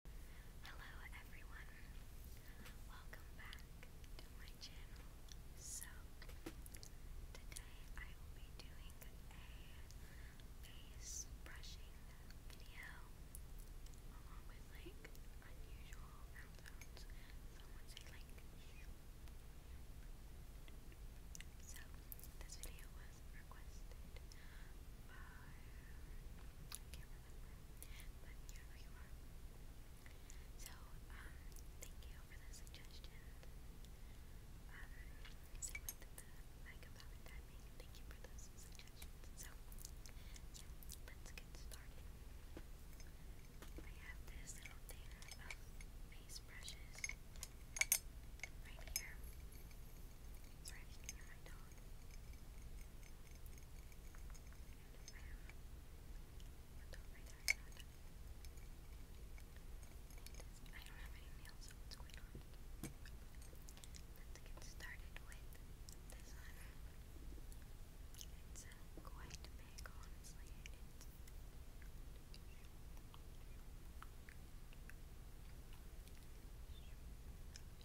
Hello everyone, welcome back to my channel. So, today I will be doing a face brushing video along with like unusual sounds. Some would like So, this video was requested by, so, um, thank you for the suggestions. Um, same with the mega palette timing. Thank you for those suggestions. So, yeah, let's get started. I have this little thing of face brushes right here. Sorry, I just near nails, so it's quite hard. Let's get started with this one. It's quite big, honestly. My bad.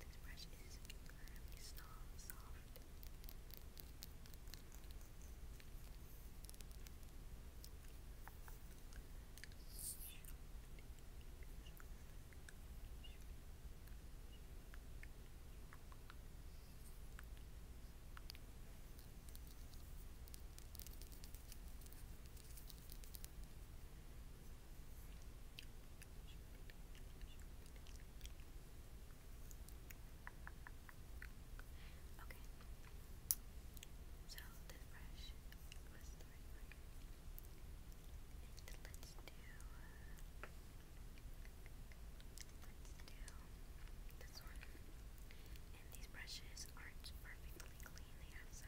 This brush is incredibly soft. Okay. So the brush was the right word. let's do uh, let's do this one. And these brushes aren't perfectly clean. They have some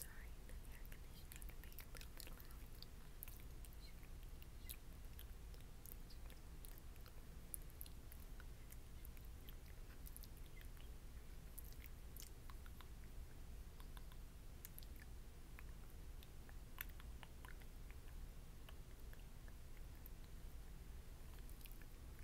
Sorry, the air conditioning can be a little bit loud. Sorry,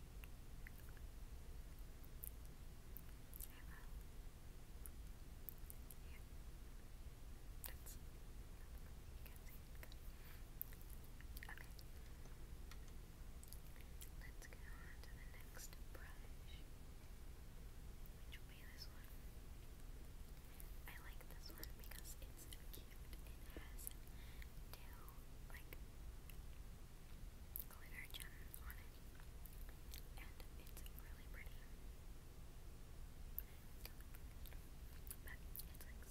Let's go on to the next brush. Which way this one? I like this one because it's cute. It has two, like, glitter gems on it. And it's really pretty. But it's like skinnier and Relax.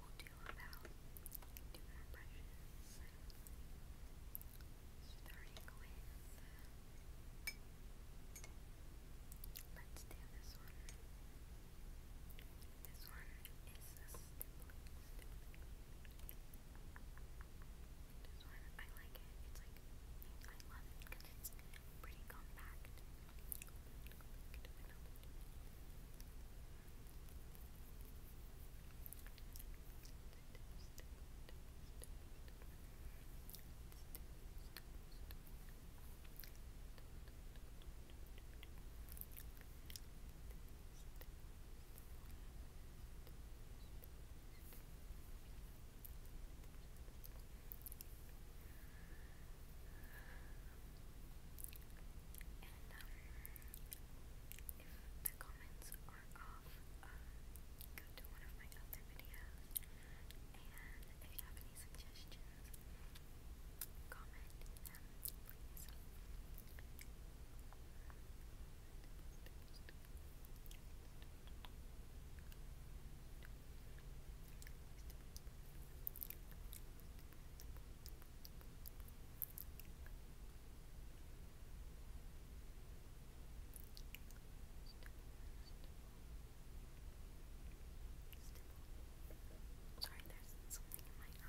we'll do about two brushes, starting with, let's do this one. This one is a This one, I like it. It's like, I love it it's pretty compact if the comments are off, um, go to one of my other videos, and if you have any suggestions, comment and please. Sorry, there's something in my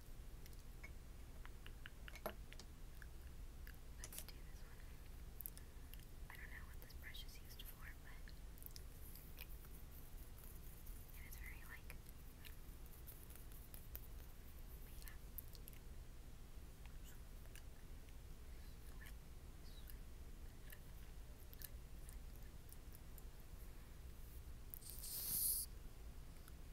Let's do this one. I don't know what this brush is used for, but it is very like. Swipe,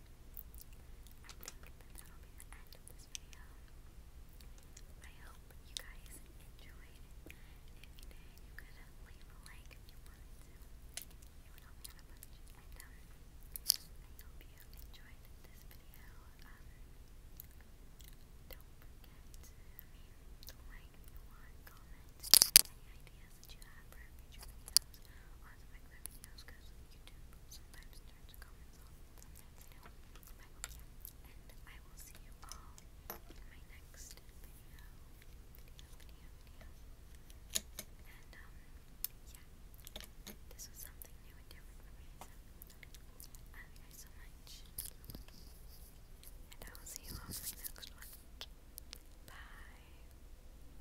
I think that that'll be the end of this video. I hope you guys enjoyed. If you could leave a like if you wanted to. It would help me out a bunch. I hope you enjoyed this video. Um, don't forget to, like comment, any ideas that you have for future videos, want to make my videos because YouTube sometimes turns comments off, sometimes they don't. But yeah, and I will see you all in my next video, video, video, video. And um, yeah, this was something new and different for me, so I love you guys so much. And I will see you all in my next one. Bye.